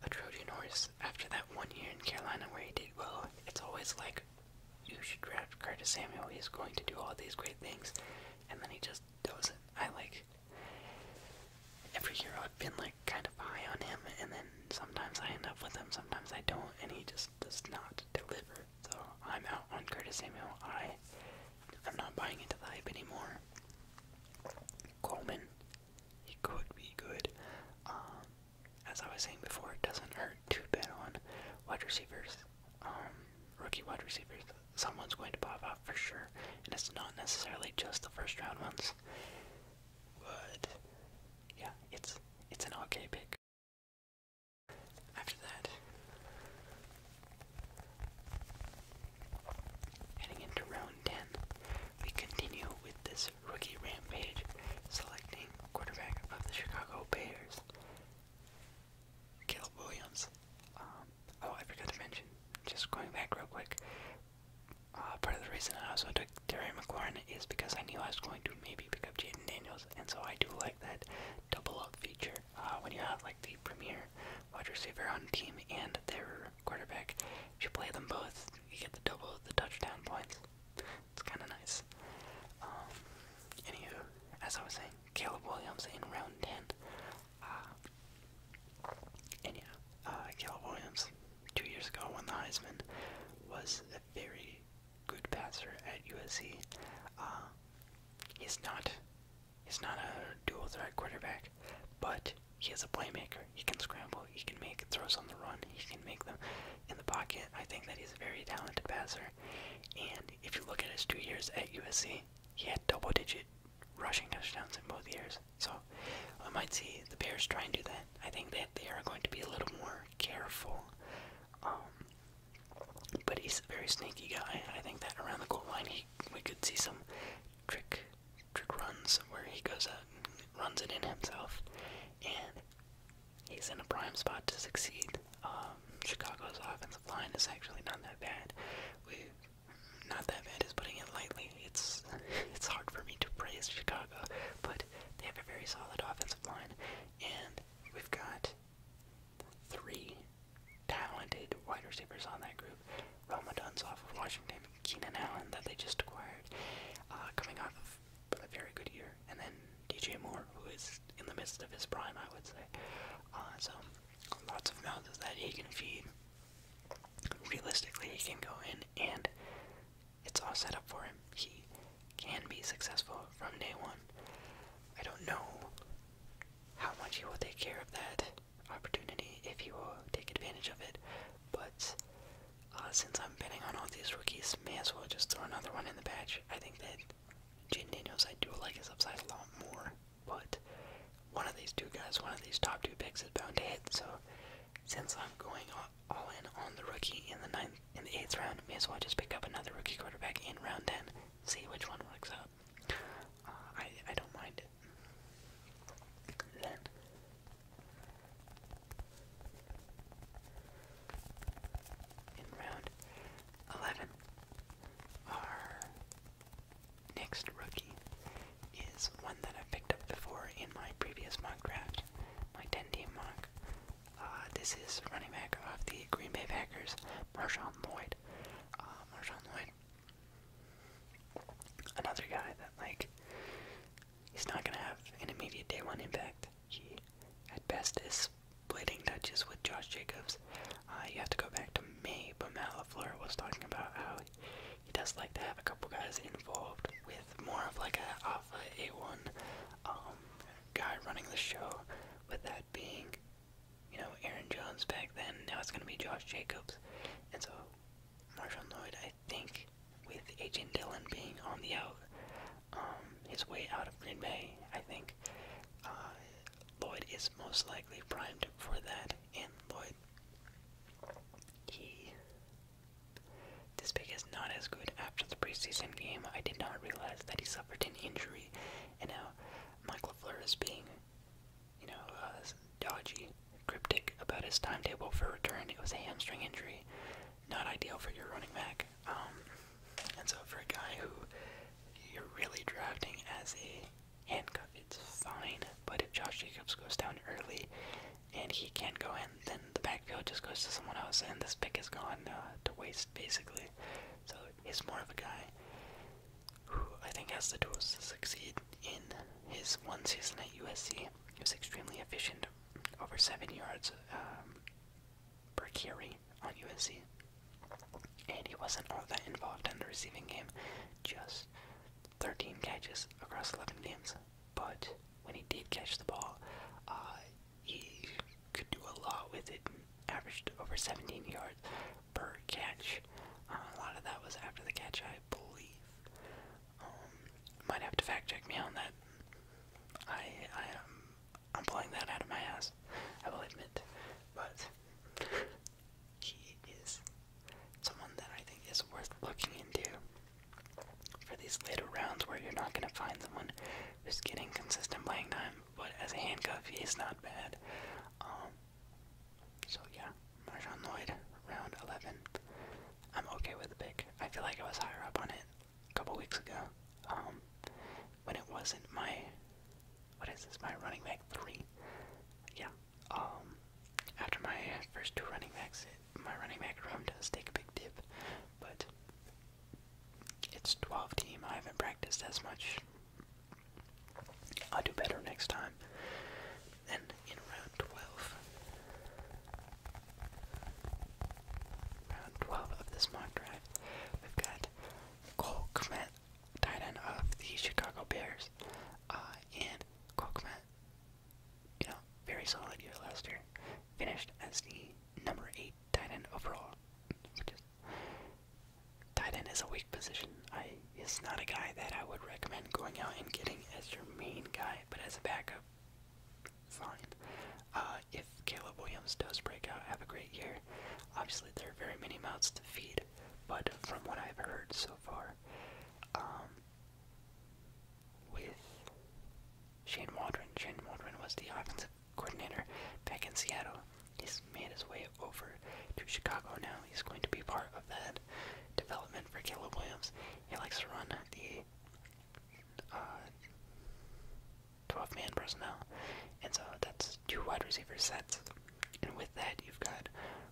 a Trojan horse after that one year in Carolina where he did well. It's always like you should draft Curtis Samuel. He's going to do all these great things, and then he just doesn't. I like every year I've been like kind of high on him, and then sometimes I end up with him, sometimes I don't, and he just does not deliver. So I'm out on Curtis Samuel. I I'm not buying into the hype anymore. Coleman, he could be good. Um, as I was saying before, it doesn't hurt to bet on wide receivers, um, rookie wide receivers. Someone's going to pop out for sure, and it's not necessarily just the first round ones. But yeah, it's it's an okay pick. After that, heading into round ten, we continue with this rookie rampage, selecting quarterback of the Chicago Bears. Caleb Williams. Um, oh, I forgot to mention, just going back real quick, uh, part of the reason I also took Terry McLaurin is because I knew I was going to maybe pick up Jaden Daniels, and so I do like that double up feature uh, when you have like the premier wide receiver on team and their quarterback. If you play them both, you get the double of the touchdown points. It's kind of nice. Um, anywho, as I was saying, Caleb Williams in round 10. Uh, and yeah, uh, Williams, two years ago, won the Heisman, was a very good passer at USC. Uh, he's not, he's not a dual threat quarterback, but he is a playmaker. He can scramble. He can make throws on the run. He can make them in the pocket. I think that he's a very talented passer. And if you look at his two years at USC, he had double digit rushing touchdowns in both years. So I might see the Bears try and do that. I think that they are going to be a little more careful. Um, but he's a very sneaky guy. I think that around the goal line, he, we could see some trick trick runs where he goes out and runs it in himself. And he's in a prime spot to succeed. Um, Chicago's offense the line is actually not that bad. We, not that bad is putting it lightly. It's it's hard for me to praise Chicago, but they have a very solid offensive line, and we've got three talented wide receivers on that group. Roma Duns off of Washington, Keenan Allen that they just acquired, uh, coming off of a very good year, and then DJ Moore, who is in the midst of his prime, I would say. Uh, so, lots of mouths that he can feed. Realistically, he can go in, and it's all set up for him. He can be successful from day one. I don't know how much he will take care of that opportunity, if he will take advantage of it, but uh, since I'm betting on all these rookies, may as well just throw another one in the patch. I think that Jane Daniels, I do like his upside a lot more, but one of these two guys, one of these top two picks, is bound to hit. So since I'm going all in on the rookie in the ninth, in the eighth round, may as well just pick up another rookie quarterback in round ten. See which one works out. Uh, I I don't mind it. Then. In round 11. Our next rookie is one that I've picked up before in my previous mock draft, my 10 team mock. Uh, this is running back of the Green Bay Packers, Marshawn Lloyd. Uh, Marshawn Lloyd. Another guy that, like, he's not going to have an immediate day one impact. He, at best, is splitting touches with Josh Jacobs. Uh, you have to go back to me. but Matt was talking about how he does like to have a couple guys involved with more of like an alpha A1 um, guy running the show, with that being, you know, Aaron Jones back then. Now it's going to be Josh Jacobs. And so Marshall Lloyd, I think, with Agent Dillon being on the out, um, his way out of Green Bay, I think, uh, Lloyd is most likely primed for that, and Lloyd, he, this pick is not as good after the preseason game. I did not realize that he suffered an injury, and now Michael Fleur is being, you know, dodgy, cryptic about his timetable for return. It was a hamstring injury, not ideal for your running back. Um, and so for a guy who you're really drafting as a handcuff, it's fine. But if Josh Jacobs goes down early and he can't go in, then the backfield just goes to someone else, and this pick is gone uh, to waste basically. So he's more of a guy who I think has the tools to succeed in his one season at USC. He was extremely efficient, over seven yards um, Berkiri on USC. And he wasn't all that involved in the receiving game, just 13 catches across 11 games. But when he did catch the ball, uh, he could do a lot with it. Averaged over 17 yards per catch. Uh, a lot of that was after the catch, I believe. Um, might have to fact check me on that. I I am um, I'm pulling that out of my ass, I will admit. But he is someone that I think is worth looking into for these later rounds where you're not going to find someone who's getting consistent playing time, but as a handcuff, is not bad. Um, so yeah, Marjon Lloyd, round 11. I'm okay with the pick. I feel like I was higher up on it a couple weeks ago um, when it wasn't my what is this? My running back three. Yeah. Um. After my first two running backs, my running back room does take a big dip, but it's 12 team. I haven't practiced as much. I'll do better next time. Then in round 12, round 12 of this mock drive, we've got Cole tight end of the Chicago Bears. Uh, and Kokman, you know, very solid year last year, finished as the number eight tight end overall, which is tight end is a weak position. I is not a guy that I would recommend going out and getting as your main guy, but as a backup, fine. Uh, if Caleb Williams does break out, have a great year. Obviously, there are very many mouths to feed, but from what I've heard so far, um, with Shane Waldron, Shane Waldron was the offensive coordinator back in Seattle. He's made his way over to Chicago now. He's going to be part of that development for Caleb Williams. He likes to run the uh, 12 man personnel. And so that's two wide receiver sets. And with that, you've got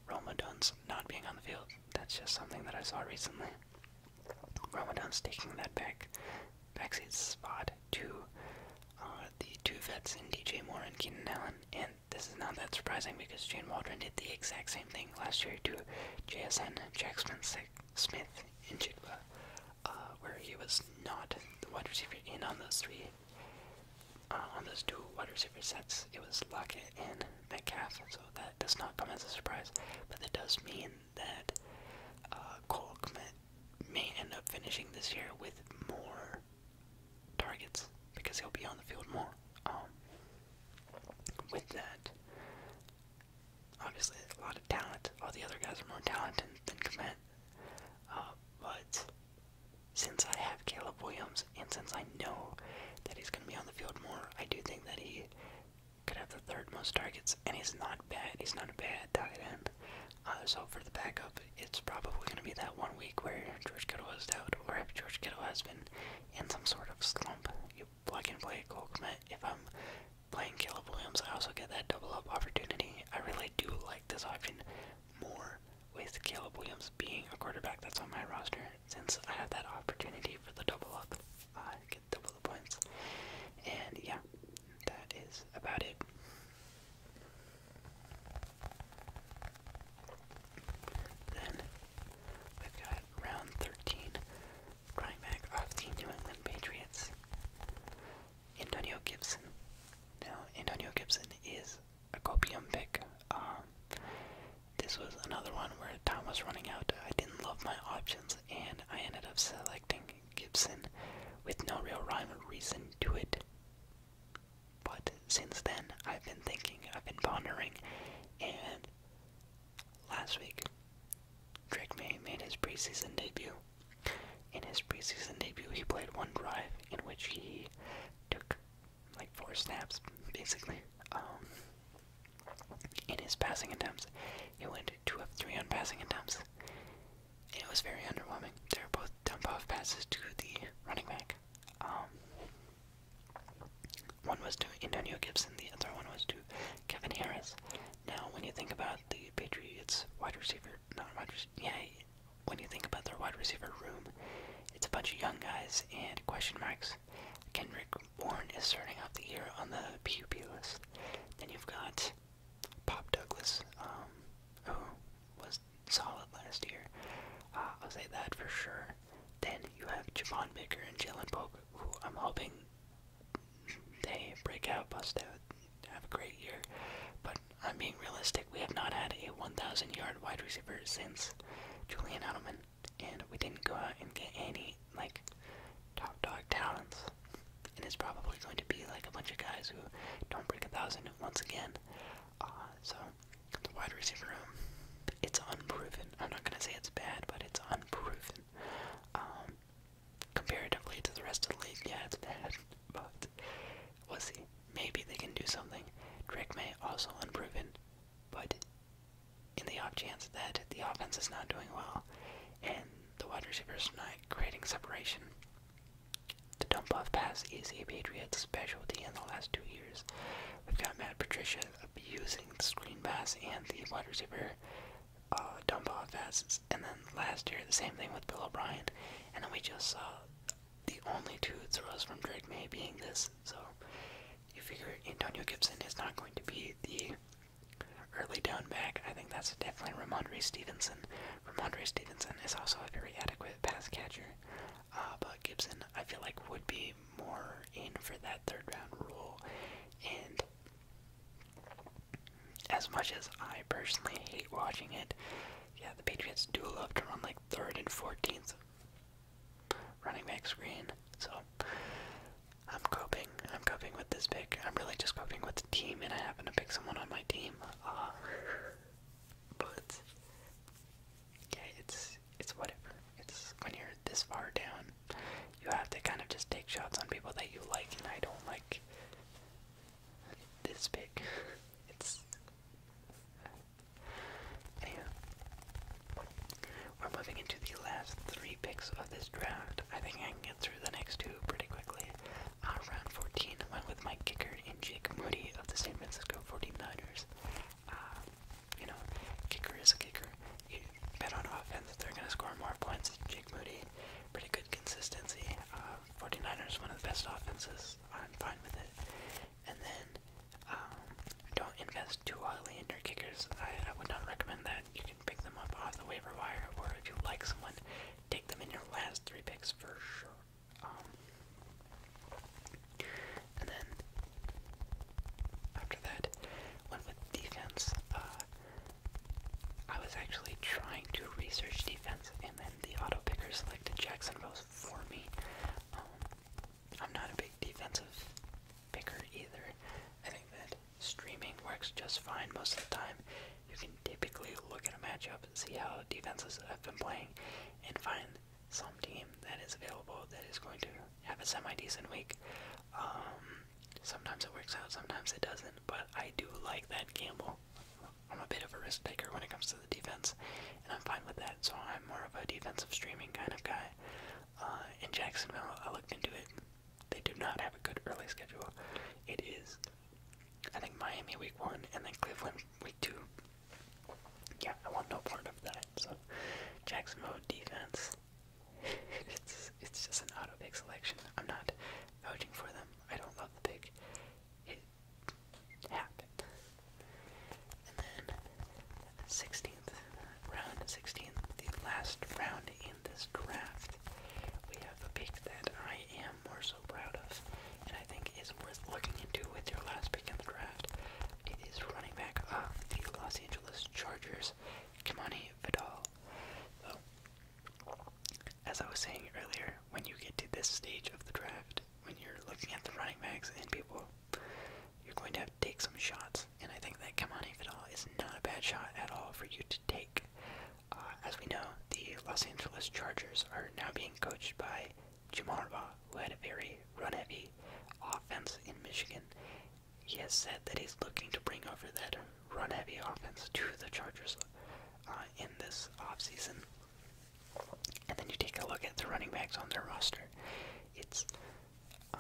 Roma Dunst not being on the field. That's just something that I saw recently. Roma Dunst taking that back backseat spot to uh, the two vets in DJ Moore and Keenan Allen. And this is not that surprising because Jane Waldron did the exact same thing last year to JSN, Jackson Smith, and Chigba. Uh, where he was not the wide receiver in on those three, uh, on those two wide receiver sets. It was Lockett and Metcalf, so that does not come as a surprise. But it does mean that uh, may end up finishing this year with more targets because he'll be on the field more. Um, with that, obviously a lot of talent. All the other guys are more talented than Kmet. Uh, but since I have Caleb Williams and since I know that he's going to be on the field more, I do think that he could have the third most targets, and he's not bad. He's not a bad tight end. Uh, so for the backup, it's probably going to be that one week where George Kittle was out, or if George Kittle has been in some sort of slump, you plug and play Cole Kmet. If I'm playing Caleb Williams, I also get that double up opportunity. I really do like this option more with Caleb Williams being a quarterback that's on my roster since I have that opportunity for the double up, uh, get double the points. And yeah, that is about it. Then we've got round 13 running back of the New England Patriots. Antonio Gibson. Now, Antonio Gibson is a copium pick. Um, this was another one where time was running out. I didn't love my options, and I ended up selecting Gibson with no real rhyme or reason to it. But since then, I've been thinking, I've been pondering, and last week, Drake May made his preseason debut. In his preseason debut, he played one drive in which he took like four snaps, basically. Um, in his passing attempts, he went two of three on passing attempts. It was very underwhelming. They were both dump-off passes to the running back. Um, one was to Antonio Gibson, the other one was to Kevin Harris. Now, when you think about the Patriots wide receiver, not wide receiver, yeah, when you think about their wide receiver room, it's a bunch of young guys and question marks. Kendrick Warren is starting off the year on the PUP list. Then you've got Pop Douglas, um, who was solid last year. Uh, I'll say that for sure. Then you have Javon Baker and Jalen Polk, who I'm hoping they break out, bust out have a great year. But I'm being realistic. We have not had a 1,000 yard wide receiver since Julian Edelman, and we didn't go out and get any like top dog talents. And it's probably going to be like a bunch of guys who don't break a thousand once again. Uh, so the wide receiver room, it's unproven. I'm not gonna say it's bad, but it's unproven. Um, comparatively to the rest of the league, yeah, it's bad but we'll see. Maybe they can do something. Drake May also unproven, but in the off chance that the offense is not doing well and the wide receivers not creating separation, the dump off pass is a Patriots specialty in the last two years. We've got Matt Patricia abusing the screen pass and the wide receiver uh, dump off passes, and then last year the same thing with Bill O'Brien, and then we just saw the only two throws from Drake May being this. So you figure Antonio Gibson is not going to be the early down back. I think that's definitely Ramondre Stevenson. Ramondre Stevenson is also a very adequate pass catcher, uh, but Gibson I feel like would be more in for that third round rule. And as much as I personally hate watching it, yeah, the Patriots do love to run like third and fourteenth running back screen. So I'm coping. I'm coping with this pick. I'm really just coping with the team, and I happen to pick someone on my team. Uh, but yeah, it's it's whatever. It's when you're this far down, you have to kind of just take shots on people that you like, and I don't like this pick, it's Anyhow. We're moving into the last three picks of this draft. I think I can get through the next two pretty quickly. Uh, round 14 I went with Mike Kicker and Jake Moody of the San Francisco 49ers. Uh, you know, kicker is a kicker. bet on offense that they're going to score more points than Jake Moody. Pretty good consistency. Uh, 49ers, one of the best offenses. I'm fine with it. And then, um, don't invest too highly in your kickers. I, would not recommend that. You can pick them up off the waiver wire, or if you like someone, take them in your last three picks for sure. Um, and then, after that, went with defense. Uh, I was actually trying to research defense and the auto picker selected Jacksonville for me. Um, I'm not a big defensive picker either. I think that streaming works just fine most of the time. You can typically look at a matchup, see how defenses have been playing, and find some team that is available that is going to have a semi-decent week. Um, sometimes it works out, sometimes it doesn't, but I do like that gamble. I'm a bit of a risk taker when it comes to the defense, and I'm fine with that. So I'm more of a defensive streaming kind of guy. Uh, in Jacksonville, I looked into it. They do not have a good early schedule. It is, I think, Miami week one and then Cleveland week two. Yeah, I want no part of that. So Jacksonville defense. it's it's just an auto pick selection. I'm not vouching for them. I don't love the pick. And then 16th round, 16th, the last round in this draft, we have a pick that I am more so proud of, and I think is worth looking into with your last pick in the draft. It is running back of the Los Angeles Chargers, Kimani Vidal. As I was saying earlier, when you get to this stage of the draft, when you're looking at the running backs and people, you're going to have to take some shots. And I think that Kamani Vidal is not a bad shot at all for you to take. Uh, as we know, the Los Angeles Chargers are now being coached by Jim Harbaugh, who had a very run-heavy offense in Michigan. He has said that he's looking to bring over that run-heavy offense to the Chargers uh, in this offseason. And then you take a look at the running backs on their roster. It's uh,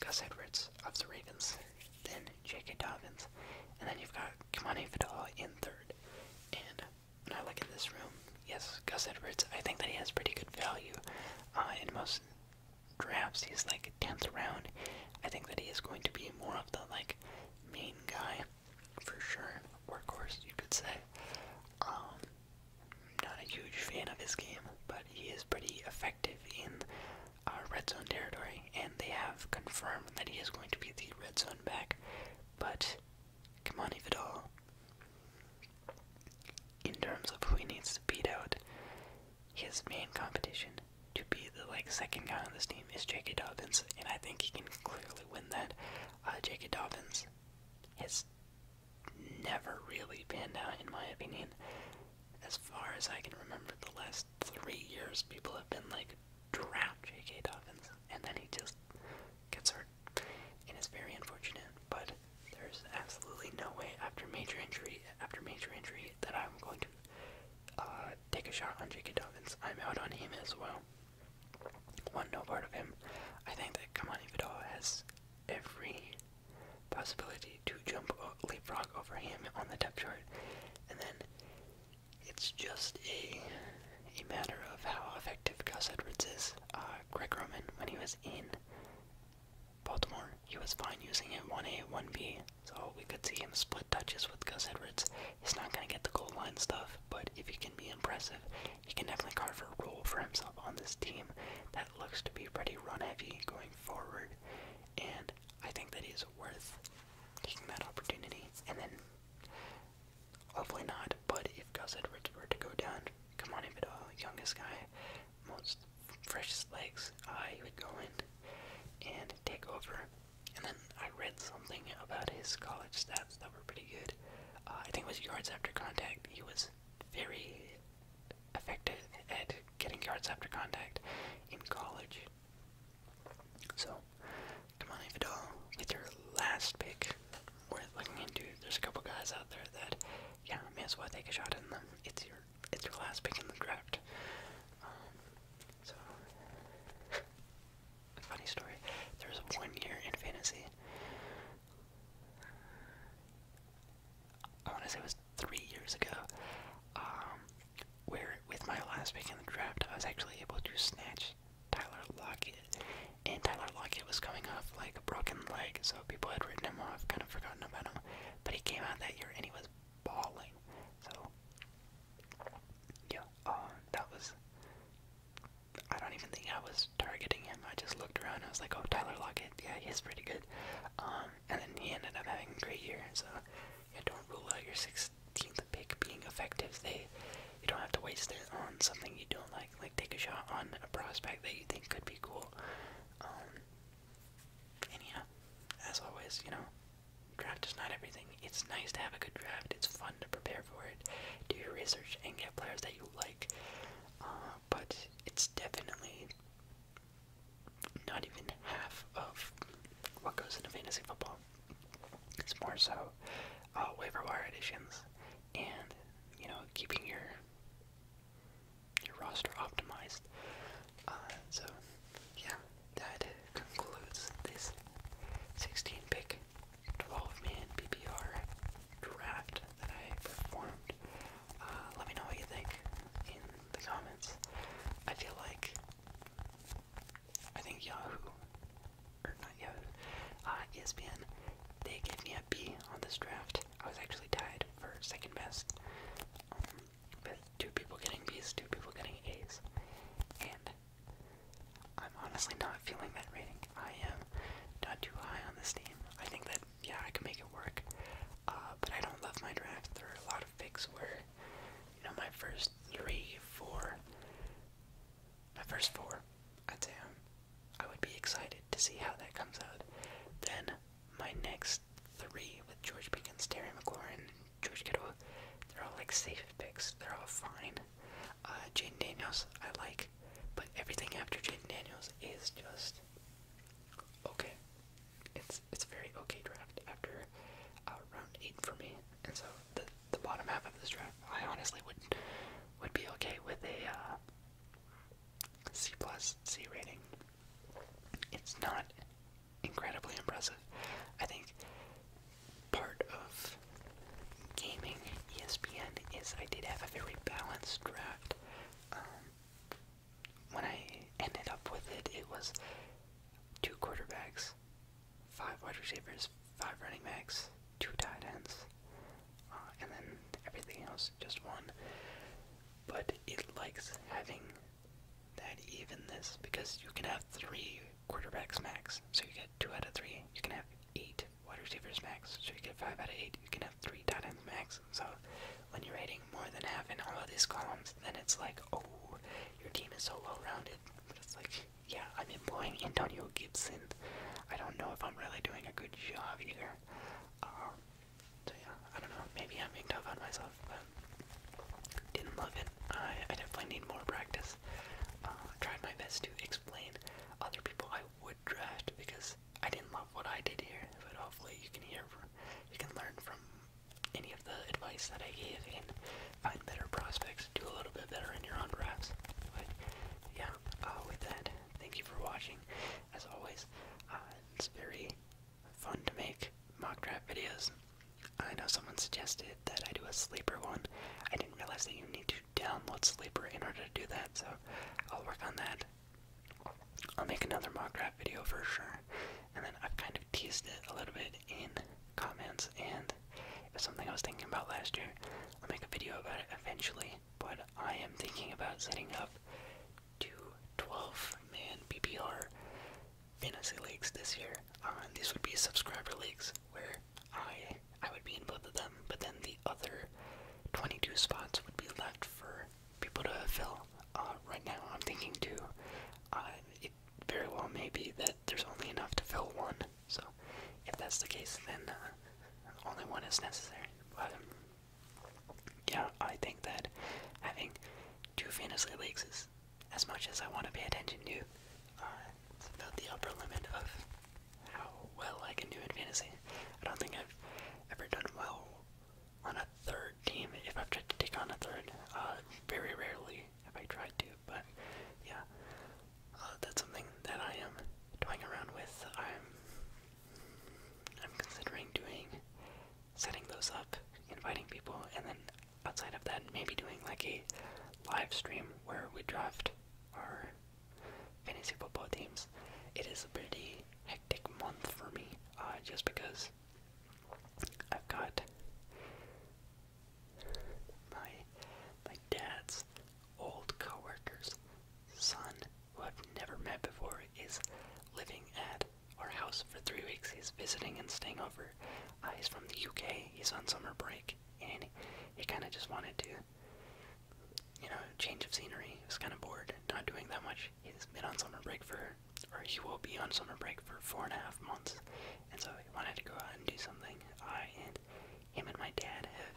Gus Edwards of the Ravens, then J.K. Dobbins, and then you've got Kamani Vidal in third. And when I look at this room, yes, Gus Edwards, I think that he has pretty good value. Uh, in most drafts, he's like 10th round. I think that he is going to be more of the like main guy for sure. Workhorse, you could say. Um, not a huge fan of his game, but he is pretty effective in uh, red zone territory, and they have confirmed that he is going to be the red zone back. But Kamani Vidal, in terms of who he needs to beat out, his main competition to be the like second guy on this team is J.K. Dobbins, and I think he can clearly probably win that. Uh, J.K. Dobbins has never really panned out, in my opinion. As far as I can remember, the last three years, people have been like, draft J.K. Dobbins, and then he just gets hurt. And it's very unfortunate, but there's absolutely no way after major injury after major injury that I'm going to uh, take a shot on J.K. Dobbins. I'm out on him as well. One no part of him. I think that Kamani Vidal has every possibility to jump leapfrog over him on the depth chart, and then it's just a a matter of how effective Gus Edwards is. Uh, Greg Roman, when he was in Baltimore, he was fine using it 1A, 1B, so we could see him split touches with Gus Edwards. He's not going to get the goal line stuff, but if he can be impressive, he can definitely carve a role for himself on this team that looks to be pretty run heavy going forward. And I think that he's worth taking that opportunity. And then, hopefully not, but if Gus Edwards were to go down, come on, if youngest guy, most freshest legs, I uh, would go in and take over. And then I read something about his college stats that were pretty good. Uh, I think it was yards after contact. He was very effective at getting yards after contact in college. So, come Damani Vidal with your last pick. Worth looking into. There's a couple guys out there that, yeah, may as well take a shot in them. It's your, it's your last pick in the draft. Um, so, funny story. There was one year in fantasy. I want to say it was three years ago, um, where with my last pick in the draft, I was actually able to snatch Tyler Lockett, and Tyler Lockett was coming off like a broken leg, so people had written him off, kind of forgotten about him, but he came out that year and he was bawling. So yeah, uh, that was. I don't even think I was targeting him. I just looked around. And I was like, "Oh, Tyler Lockett. Yeah, he's pretty good." Um, and then he ended up having a great year. So, yeah, don't rule out your 16th pick being effective. They, you don't have to waste it on something you don't like. Like, take a shot on a prospect that you think could be cool. Um, and yeah, as always, you know, Draft is not everything. It's nice to have a good draft. It's fun to prepare for it, do your research, and get players that you like. Uh, but it's definitely not even half of what goes into fantasy football. It's more so uh, waiver wire additions and you know keeping your your roster optimized. Uh, so yeah, that concludes this 16 pick, 12 man PPR draft that I performed. Uh, let me know what you think in the comments. I feel like I think Yahoo, or not Yahoo, uh, ESPN, they gave me a B on this draft. I was actually tied for second best. Um, with two people getting B's, two people getting A's. And I'm honestly not feeling that rating. I am not too high on this team. I think that, yeah, I can make it work. Uh, but I don't love my draft. There are a lot of picks where, you know, my first three, four, my first four, I'd say I would be excited to see how that comes out. Then my next three with George Pickens, Terry McLaurin, George Kittle, they're all like safe picks. They're all fine. Uh, Jaden Daniels, I like, but everything after Jaden Daniels is just okay. It's it's very okay draft after uh, round eight for me, and so the the bottom half of this draft, I honestly would would be okay with a uh, C plus C rating. It's not incredibly impressive. I think part of gaming ESPN is I did have a very balanced draft. Um, when I ended up with it, it was two quarterbacks, five wide receivers, five running backs, two tight ends, uh, and then everything else just one. But it likes having that evenness because you can have three quarterbacks max, so you get two out of three. You can have eight wide receivers max, so you get five out of eight. You can have three tight ends max. So when you're rating more than half in all of these columns, then it's like, oh, your team is so well-rounded. it's like, yeah, I'm employing Antonio Gibson. I don't know if I'm really doing a good job either. Um, so yeah, I don't know. Maybe I'm being tough on myself, but didn't love it. I, definitely need more practice. Uh, I tried my best to explain other people I would draft because I didn't love what I did here, but hopefully you can hear, from, you can learn from any of the advice that I gave and find better prospects, do a little bit better in your own drafts. But yeah, uh, with that, thank you for watching. As always, uh, it's very fun to make mock draft videos. I know someone suggested that I do a sleeper one. I didn't realize that you need to download Sleeper in order to do that, so I'll work on that. I'll make another mock rap video for sure. And then I've kind of teased it a little bit in comments, and it something I was thinking about last year. I'll make a video about it eventually, but I am thinking about setting up two 12 man PPR fantasy leagues this year. Um, these would be subscriber leagues where I I would be in both of them, but then the other 22 spots would be left for people to fill. Uh, right now, I'm thinking too. Uh, it very well may be that there's only enough to fill one. So, if that's the case, then uh, only one is necessary. But um, yeah, I think that having two fantasy leagues is as much as I want to pay attention to about the upper limit of how well I can do in fantasy. I don't think I've ever done well on a third team if I've tried to take on a third. Uh, very rarely have I tried to, but yeah, uh, that's something that I am toying around with. I'm I'm considering doing setting those up, inviting people, and then outside of that, maybe doing like a live stream where we draft our fantasy football teams. It is a pretty hectic month for me, uh, just because I've got my my dad's old coworker's son, who I've never met before, is living at our house for three weeks. He's visiting and staying over. Uh, he's from the UK. He's on summer break, and he kind of just wanted to, you know, change of scenery. He was kind of bored, not doing that much. He's been on summer break for, or he will be on summer break for four and a half months, and so he wanted to go out and do something. I and him and my dad have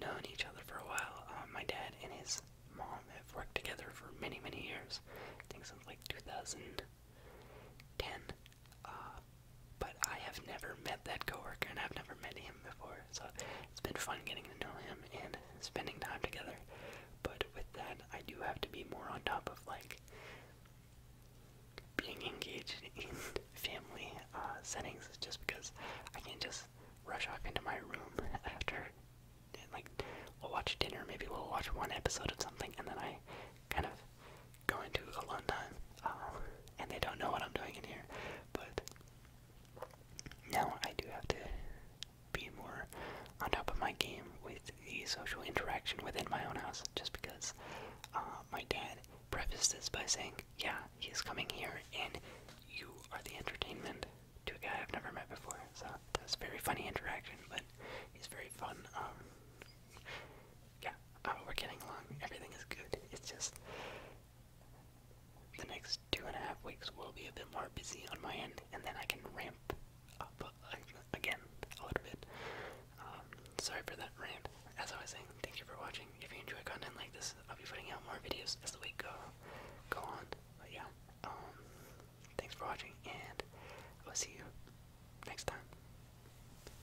known each other for a while. Um, my dad and his mom have worked together for many, many years. I think since like 2010. Uh, but I have never met that coworker, and I've never met him before, so it's been fun getting to know him and spending time together. But with that, I do have to be more on top of like being engaged in family uh, settings, just because I can't just rush off into my room after, and, like we'll watch dinner, maybe we'll watch one episode of something, and then I kind of going to a long time, uh, and they don't know what I'm doing in here. But now I do have to be more on top of my game with the social interaction within my own house, just because uh, my dad prefaced this by saying, "Yeah, he's coming here, and you are the entertainment." To a guy I've never met before, so that that's very funny interaction. But he's very fun. Um, yeah, oh, we're getting along. Everything is good. It's just the next two and a half weeks will be a bit more busy on my end, and then I can ramp up again a little bit. Um, sorry for that rant. As I was saying, thank you for watching. If you enjoy content like this, I'll be putting out more videos as the week go go on. But yeah, um, thanks for watching, and I'll see you next time.